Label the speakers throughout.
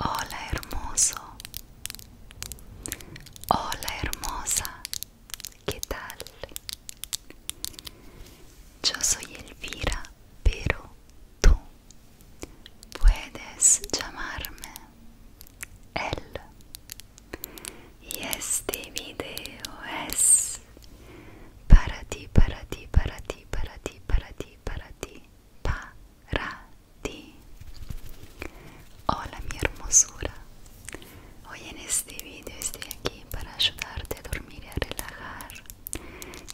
Speaker 1: Hola hermoso, hola hermosa, ¿qué tal? Yo soy Elvira, pero tú puedes llamarme él. Y este video es para ti, para ti, para ti, para ti, para ti, para ti, para ti. Hola mi hermosura. Hoy en este vídeo estoy aquí para ayudarte a dormir y a relajar.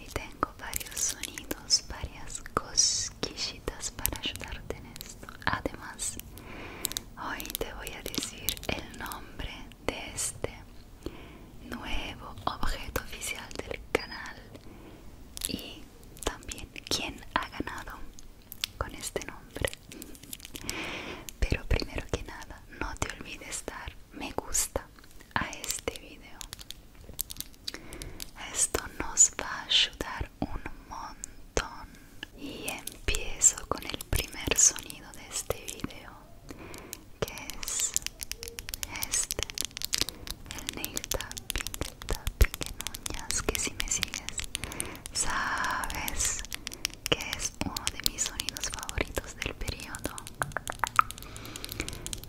Speaker 1: Y tengo varios sonidos, varias cosquillitas para ayudarte en esto. Además, hoy te voy a decir el nombre de este nuevo objeto oficial del canal y también quién ha ganado con este nombre pero primero que nada no te olvides dar me gusta a este video esto nos va a ayudar un montón y empiezo con el primer sonido de este video que es este el nail tapping el tapping que si me sigues sabes que es uno de mis sonidos favoritos del periodo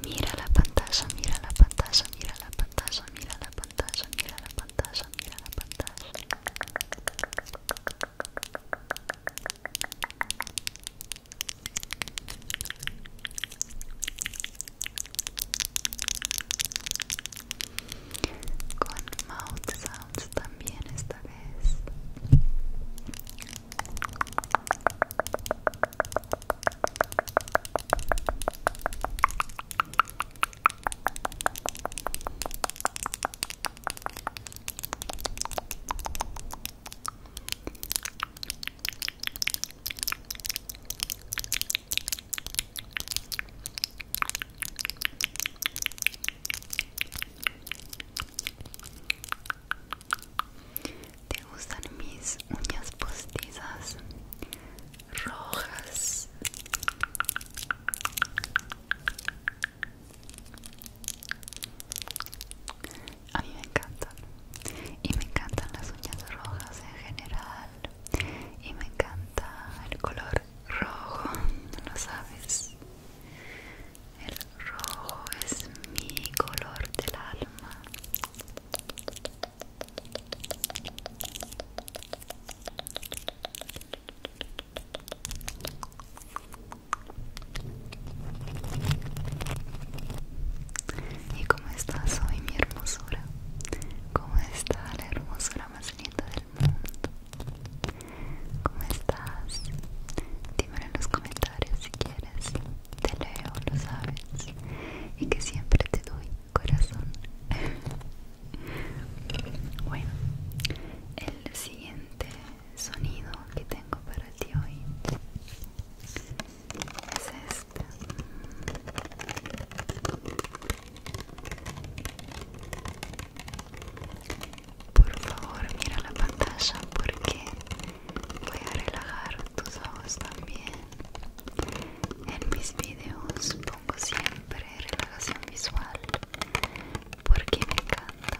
Speaker 1: mira la pantalla mira la pantalla mira la pantalla mira la pantalla mira la pantalla mira la pantalla con mouth sounds también esta vez ¿Te gustan mis uñas postizas rojas? A mí me encantan. Y me encantan las uñas rojas en general. Y me encanta el color rojo, no lo sabes. El rojo es mi color del alma. ¿Y cómo estás hoy, mi hermosura? ¿Cómo está la hermosura más linda del mundo? ¿Cómo estás? Dímelo en los comentarios si quieres. Te leo, lo sabes. Y que siempre te doy corazón. bueno, el siguiente sonido que tengo para ti hoy es este por favor mira la pantalla porque voy a relajar tus ojos también en mis videos pongo siempre relajación visual porque me encanta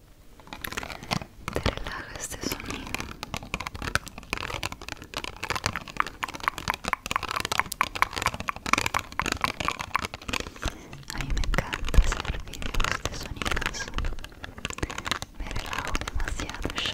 Speaker 1: te relaja este sonido a mí me encanta hacer videos de este sonidos me relajo demasiado yo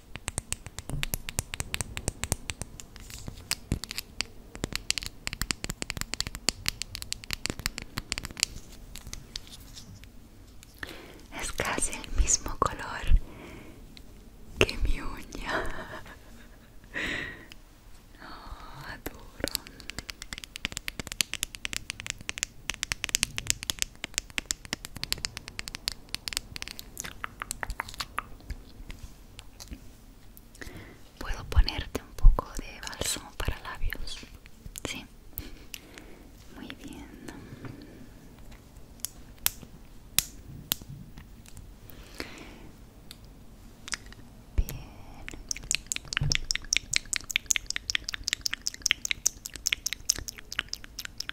Speaker 1: Es casi el mismo color que mi uña. Puedo ponerte un poco de bálsamo para labios. Sí. Muy bien. Bien.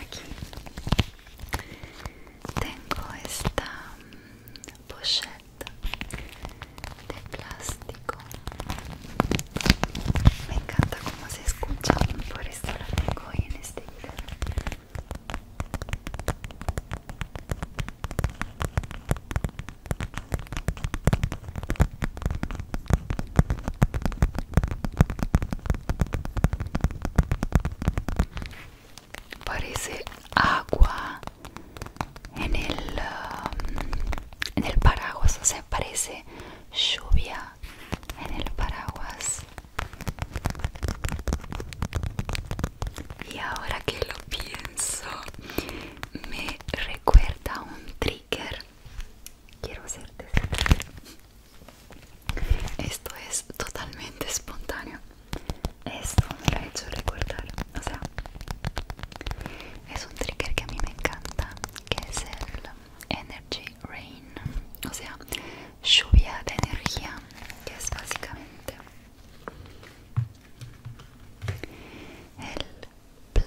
Speaker 1: Aquí tengo esta mm, pochette de plástico. Me encanta cómo se escucha, por eso la tengo en este video. Parece agua en el, um, en el paraguas, o sea, parece lluvia en el paraguas. Y ahora que lo pienso, me recuerda un trío quiero hacerte esto es totalmente espontáneo esto me lo ha hecho recordar o sea es un trigger que a mí me encanta que es el energy rain o sea lluvia de energía que es básicamente el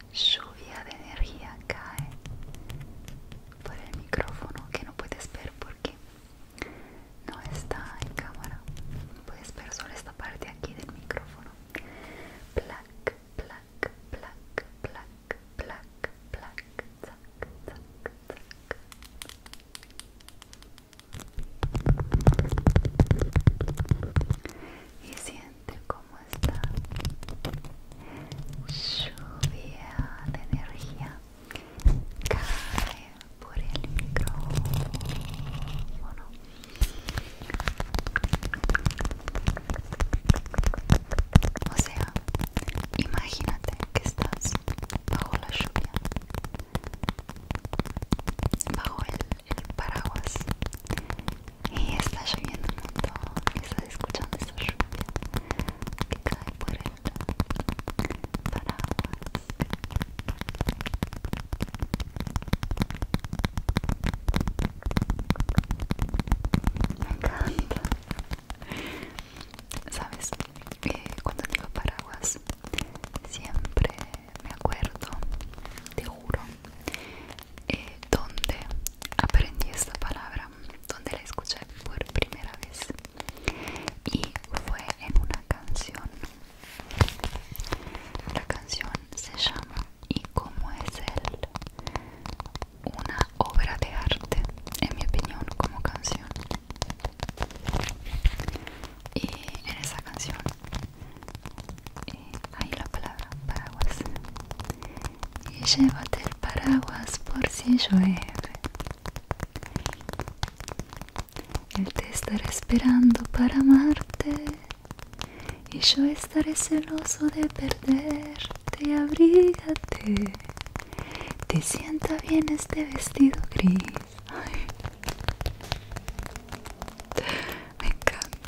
Speaker 1: lluvia de energía cae por el micrófono que no puedes ver porque no está en cámara puedes ver solo esta parte aquí del micrófono Y siente como cómo está lluvia de energía cae por el micrófono o sea imagínate que estás bajo la lluvia bajo el el paraguas y está lloviendo un montón y está escuchando esa lluvia que cae por el paraguas me encanta sabes eh, cuando digo paraguas siempre me acuerdo, te juro, eh, donde aprendí esta palabra, donde la escuché por primera vez. Y fue en una canción. La canción se llama Y cómo es él. Una obra de arte, en mi opinión, como canción. Y en esa canción eh, ahí la palabra paraguas y llévate el paraguas por si llueve él te estará esperando para amarte y yo estaré celoso de perderte abrígate te sienta bien este vestido gris me encanta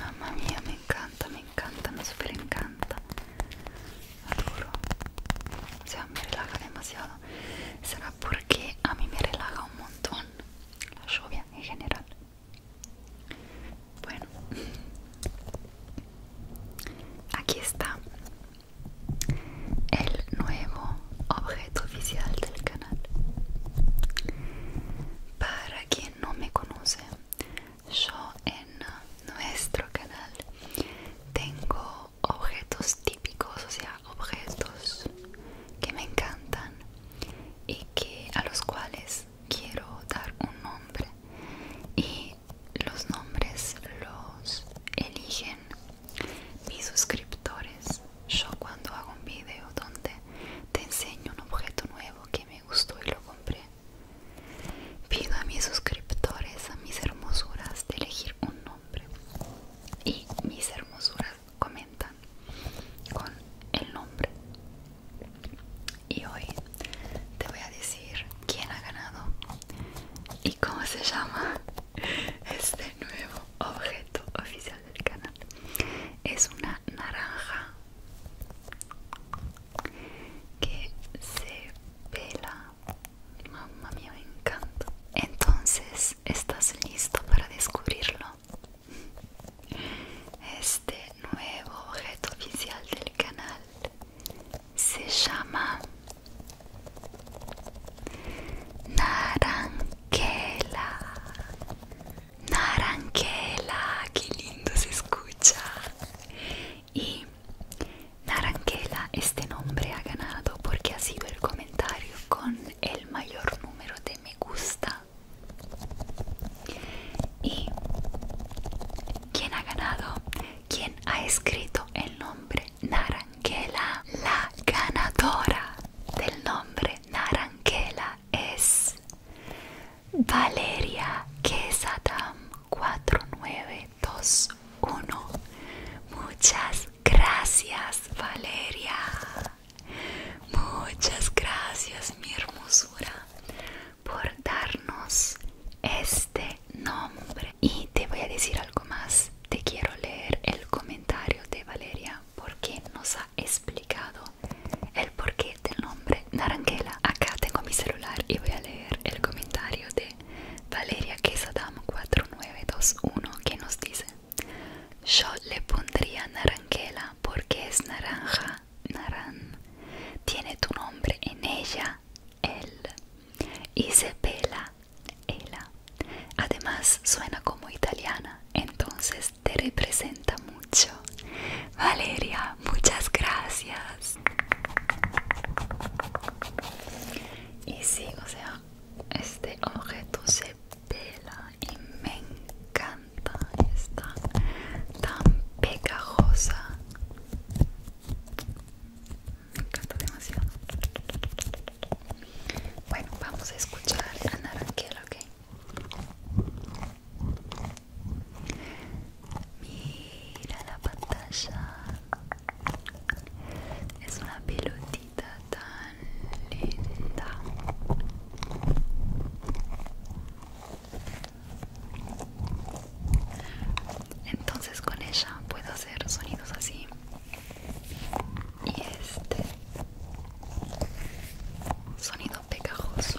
Speaker 1: Mamma mia, mi incanta, mi incanta, mi super incanta. Adoro. Siamo, mi rilaga demasiado. Sarà porque a mí me relaja un montón la lluvia en general. Bueno, aquí está el nuevo objeto oficial del canal. Para quien no me conoce, yo en nuestro canal tengo objetos típicos, o sea, objetos que me encantan y que a los cuales quiero dar un nombre y los nombres los eligen mis suscriptores yo cuando hago un vídeo donde te enseño un objeto nuevo que me gustó y lo compré pido a mis suscriptores a mis hermosuras de elegir un nombre y mis hermosuras comentan con el nombre. Y hoy te voy a decir quién ha ganado y cómo se llama este nuevo objeto oficial del canal. Es una naranja que se pela. Mamma mía, me encanta. Entonces, ¿estás listo para descubrirlo? Este nuevo objeto oficial del canal se llama Naranquela. Naranquela, qué lindo se escucha. Y Naranquela, este nombre ha ganado porque ha sido el comentario con el mayor número de me gusta y quién ha ganado quién ha escrito el nombre naranquela la ganadora del nombre naranquela es Valeria Kesatam 4921 muchas gracias Valeria Muchas gracias, mi hermosura, por darnos este nombre. Y te voy a decir algo más. Te quiero leer el comentario de Valeria porque nos ha explicado el porqué del nombre Naranjela. Acá tengo mi celular y voy a leer el comentario de Valeria que adam 4921 que nos dice yo le pondría Naranquela porque es naranja, naran. Tiene tu nombre en ella, él. Y se pela, ella. Además suena como italiana, entonces te representa mucho. Valeria, muchas gracias. Y sí, o sea, este objeto se y me encanta está tan pegajosa me encanta demasiado bueno vamos a escuchar a Naranjel ok mira la pantalla es una pelotita tan linda. Entonces con ella puedo hacer sonidos así. Y este sonido pegajoso.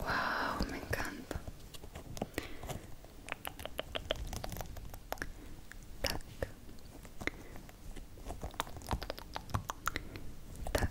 Speaker 1: Wow, me encanta. Tac. Tac.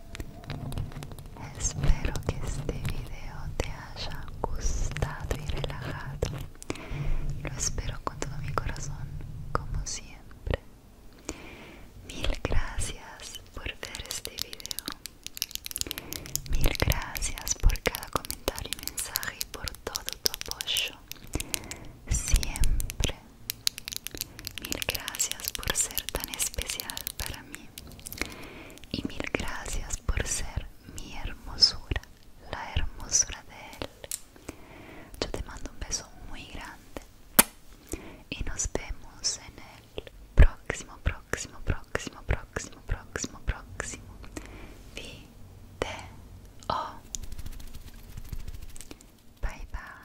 Speaker 1: Espero que este video te haya gustado y relajado. Lo espero con todo mi corazón, como siempre. Mil gracias por ver este video. Mil gracias por cada comentario y mensaje y por todo tu apoyo. Siempre, Mil gracias por ser tan especial para mí y mil gracias por ser mi hermosura, la hermosura de él. Yo te mando un beso muy grande y nos vemos en el próximo, próximo, próximo, próximo, próximo, próximo O. Bye bye.